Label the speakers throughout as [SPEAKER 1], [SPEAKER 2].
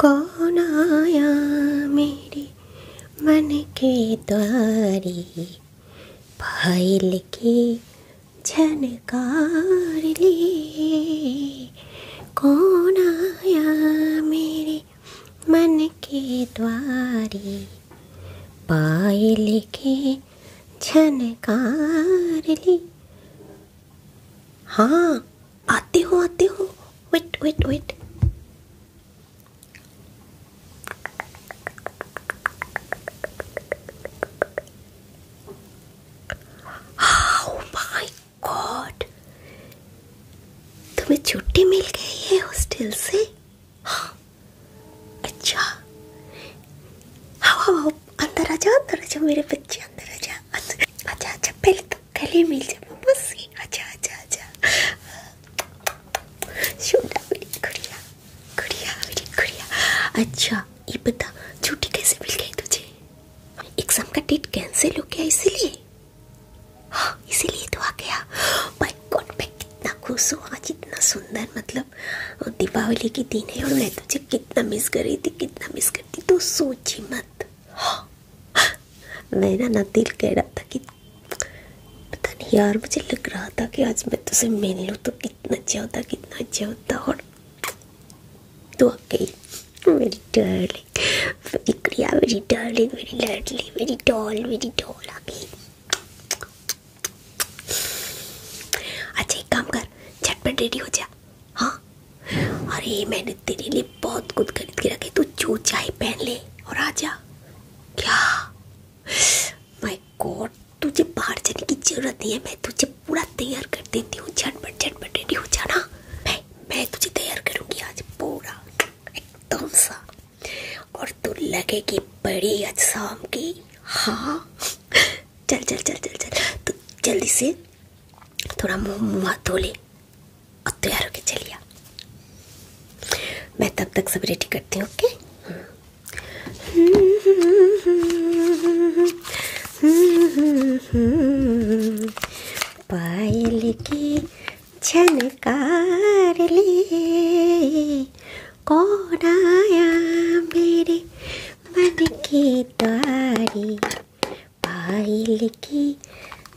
[SPEAKER 1] कौन आया मेरे मन के द्वारे फाइल की झनकार लिए कौन आया मेरे मन के द्वारे पायल के झनकार ली हाँ आते हो आते हो wait wait wait oh my God! तुम्हें छुट्टी मिल गई है हॉस्टल से हाँ अच्छा हाँ, हाँ हाँ अंदर आ जाओ अंदर आ जाओ मेरे बच्चे अंदर आ जाओ अच्छा अच्छा पहले तो गले मिल जा अच्छा, अच्छा, अच्छा।, अच्छा ये बता छुट्टी कैसे मिल गई तुझे एग्जाम का डेट कैंसिल हो गया इसीलिए हाँ इसीलिए तो आ गया माय गॉड मैं कितना खुश हूँ आज इतना सुंदर मतलब दीपावली के दिन है और मैं तुझे कितना मिस कर रही थी कितना मिस करती तो सोची मत मैंना नतील कह रहा था कि पता नहीं यार मुझे लग रहा था कि आज मैं तुझसे मिल लूँ तो कितना अच्छा होता कितना अच्छा होता और तू गई मेरी डार्लिंग मेरी क्रिया मेरी डार्लिंग मेरी लाडली मेरी डॉल मेरी डॉल आ गई अच्छा एक काम कर झटपट रेडी हो जा हाँ? अरे मैंने तेरे लिए बहुत कुछ खरीद के रखे तू जो चाहे पहन ले और आ जा क्या माय गॉड तुझे बाहर जाने की जरूरत नहीं है मैं तुझे पूरा तैयार कर देती हूँ झटपट झटपट रेडी हो जाना मैं मैं तुझे तैयार करूँगी आज पूरा एकदम सा और तू लगेगी बड़ी आज की हाँ चल चल चल चल चल तू जल्दी से थोड़ा मुंह मुँह हाथ धो ले और तैयार होके चलिए मैं तब तक सब रेडी करती हूँ ओके पायल की झनकार ले कौन आया मेरे मन की तारी पायल की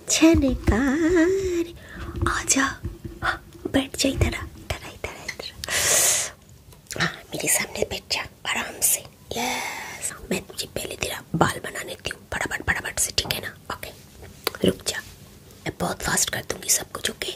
[SPEAKER 1] छनकार आजा हाँ, बैठ जा इधर इधर इधर इधर हाँ मेरे सामने बैठ जा आराम से यस मैं तुझे पहले तेरा बाल बना लेती हूँ फटाफट फटाफट से ठीक है ना ओके रुक जा मैं बहुत फास्ट कर दूंगी सब कुछ ओके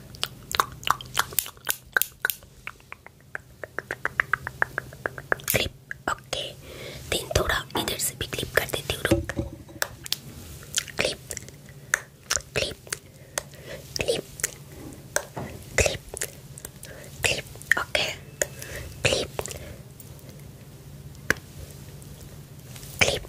[SPEAKER 1] क्लिप ओके देन थोड़ा इधर से भी क्लिप कर देती हूँ रुक clip clip clip clip clip okay clip clip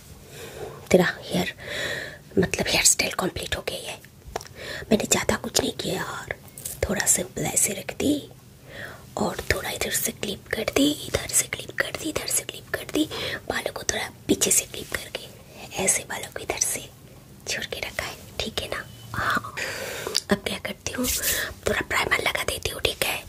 [SPEAKER 1] तेरा हेयर मतलब हेयर स्टाइल कम्प्लीट हो गई है मैंने ज़्यादा कुछ नहीं किया और थोड़ा सिंपल ऐसे रख दी और थोड़ा इधर से क्लिप कर दी इधर से क्लिप कर दी इधर से क्लिप कर दी बालों को थोड़ा पीछे से क्लिप करके ऐसे बालों को इधर से छोड़ के रखा है ठीक है ना हाँ अब क्या करती हूँ पूरा प्राइमर लगा देती हूँ ठीक है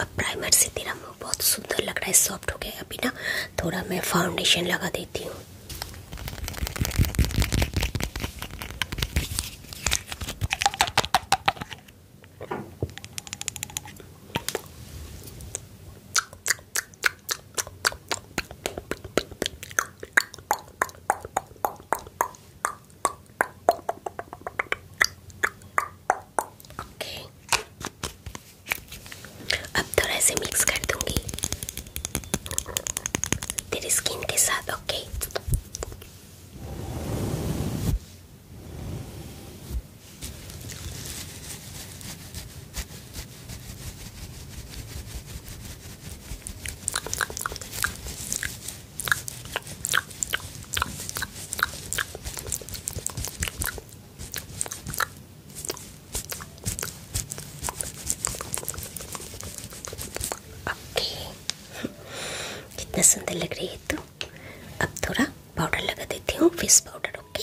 [SPEAKER 1] अब प्राइमर से तेरा बहुत सुंदर लग सॉफ्ट हो गया अभी ना थोड़ा मैं फाउंडेशन लगा देती हूँ ओके अब थोड़ा से मिक्स कर दूंगी तेरी स्किन के साथ ओके ओके कितना सुंदर लग रही है तो अब थोड़ा पाउडर लगा देती हूँ face powder okay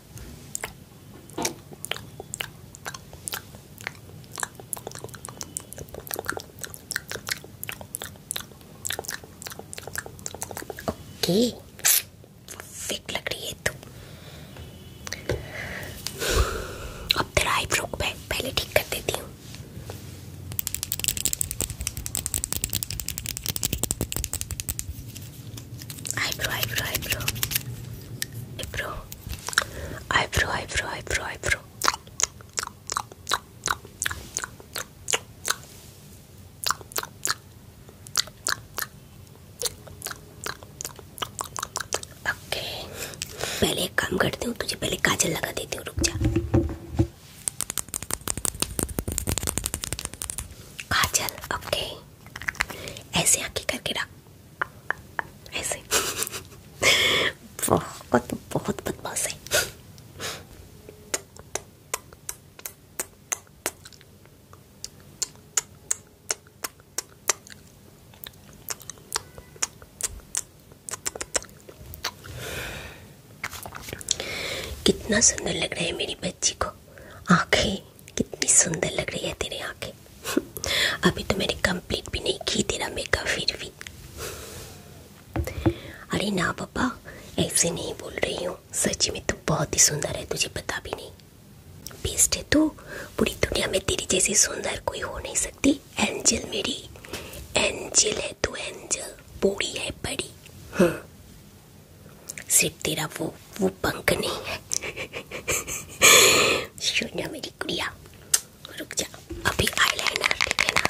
[SPEAKER 1] okay fit लग रही है तू अब तेरा आईब्रो मैं पहले ठीक कर देती हूँ eyebrow eyebrow eyebrow eyebrow eyebrow eyebrow eyebrow eyebrow okay पहले एक काम करती हूँ तुझे पहले काजल लगा देती हूँ रुक जा काजल ओके ऐसे आके करके रख ऐसे बहुत बहुत बदमाश है कितना सुंदर लग रहा है मेरी बच्ची को आंखें कितनी सुंदर लग रही है तेरी आंखें अभी तो मैंने कंप्लीट भी नहीं की तेरा मेकअप फिर भी अरे ना पापा ऐसे नहीं बोल रही हूँ सच में तू बहुत ही सुंदर है तुझे पता भी नहीं बेस्ट है तू पूरी दुनिया में तेरी जैसी सुंदर कोई हो नहीं सकती एंजल मेरी एंजल है तू एंजल बूढ़ी है बड़ी हाँ सिर्फ तेरा वो वो पंख नहीं है सोना मेरी कुड़िया रुक जा अभी आईलाइनर ठीक है ना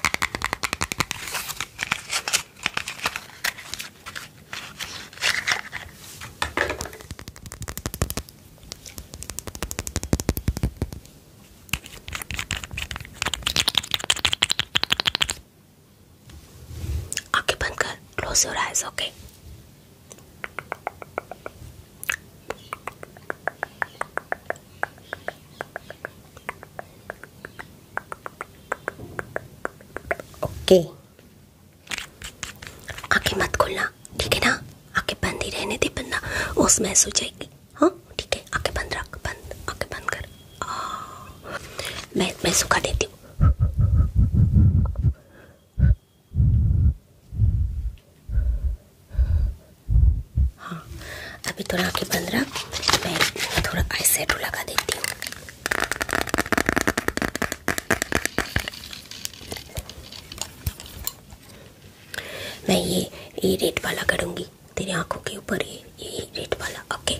[SPEAKER 1] आंखें बंद कर close your eyes okay okay आंखें मत खोलना ठीक है ना आंखें बंद ही रहने दे बंदा उस महसूस हो जाएगी हाँ ठीक है आंखें बंद रख बंद आंखें बंद कर मैं मैं सुखा देती हूँ हाँ अभी थोड़ा आँखें बंद रख मैं थोड़ा आई सेटू लगा देती हूँ मैं ये ये रेड वाला करूँगी तेरी आंखों के ऊपर ये ये रेड वाला ओके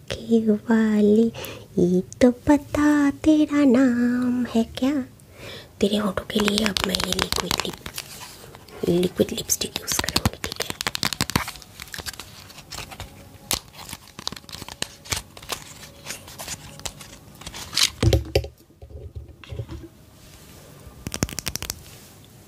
[SPEAKER 1] आँखें वाली ये तो पता तेरा नाम है क्या तेरे ऑटो के लिए अब मैं ये liquid lip liquid lipstick use करूँगी ठीक है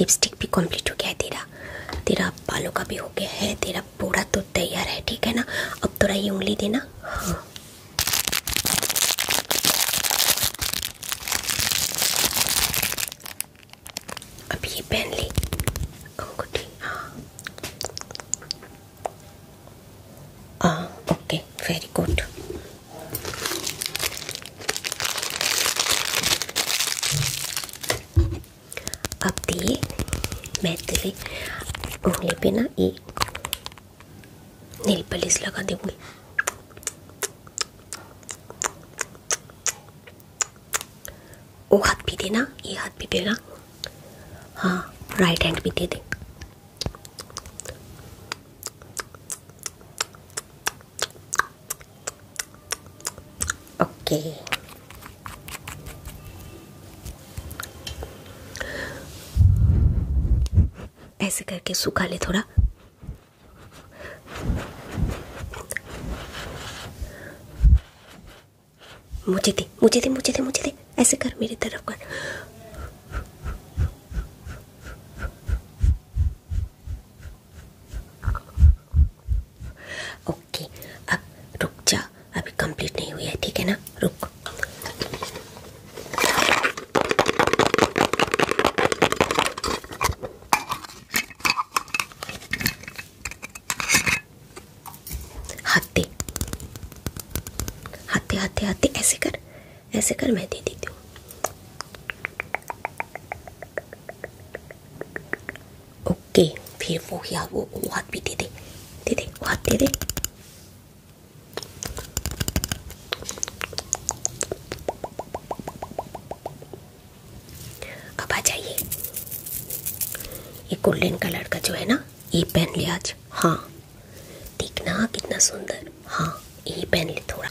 [SPEAKER 1] लिपस्टिक भी कंप्लीट हो गया है तेरा तेरा बालों का भी हो गया है तेरा पूरा तो तैयार है ठीक है ना अब थोड़ा ये उंगली देना हाँ अब ये पहन ली अंगूठी हाँ, हाँ okay very good Αυτή mettere una penna e nel pelle slagante qui. वो हाथ भी देना ये हाथ भी देना हाँ राइट हैंड भी दे दे ओके ऐसे करके सूखा ले थोड़ा मुझे दे मुझे दे मुझे दे मुझे दे ऐसे कर मेरी तरफ कर ओके अब रुक जा अभी कंप्लीट नहीं हुई है ठीक है ना रुक हाथे हाथे हाथे ऐसे कर ऐसे कर मैं दे देती हूँ ओके फिर वो या वो, वो हाथ भी दे दे दे दे हाथ दे दे अब आ जाइए ये गोल्डन कलर का जो है ना ये पहन ले आज हाँ देखना कितना सुंदर हाँ ये पहन ले थोड़ा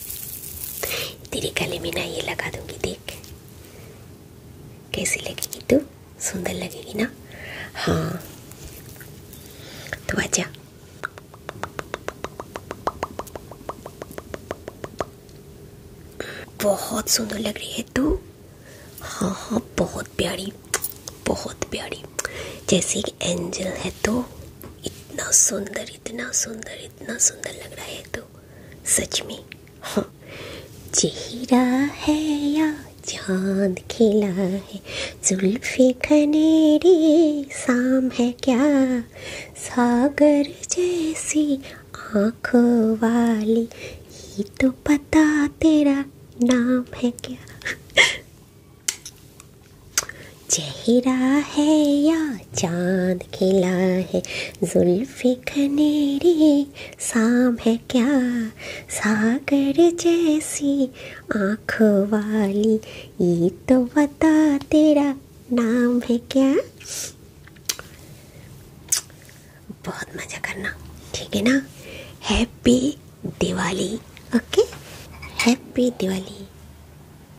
[SPEAKER 1] तेरे गले में ना ये लगा दूंगी देख कैसी लगेगी तू सुंदर लगेगी ना हाँ तो आजा बहुत सुंदर लग रही है तू हाँ हाँ बहुत प्यारी बहुत प्यारी जैसे एक एंजल है तो इतना सुंदर इतना सुंदर इतना सुंदर लग रहा है तो सच में हाँ चेहरा है या चांद खिला है जुल्फे खनेरी शाम है क्या सागर जैसी आँखों वाली ये तो पता तेरा नाम है क्या चेहरा है या चांद खिला है जुल्फे खनेरी शाम है क्या सागर जैसी आँख वाली ये तो बता तेरा नाम है क्या बहुत मज़ा करना ठीक है ना happy Diwali okay happy Diwali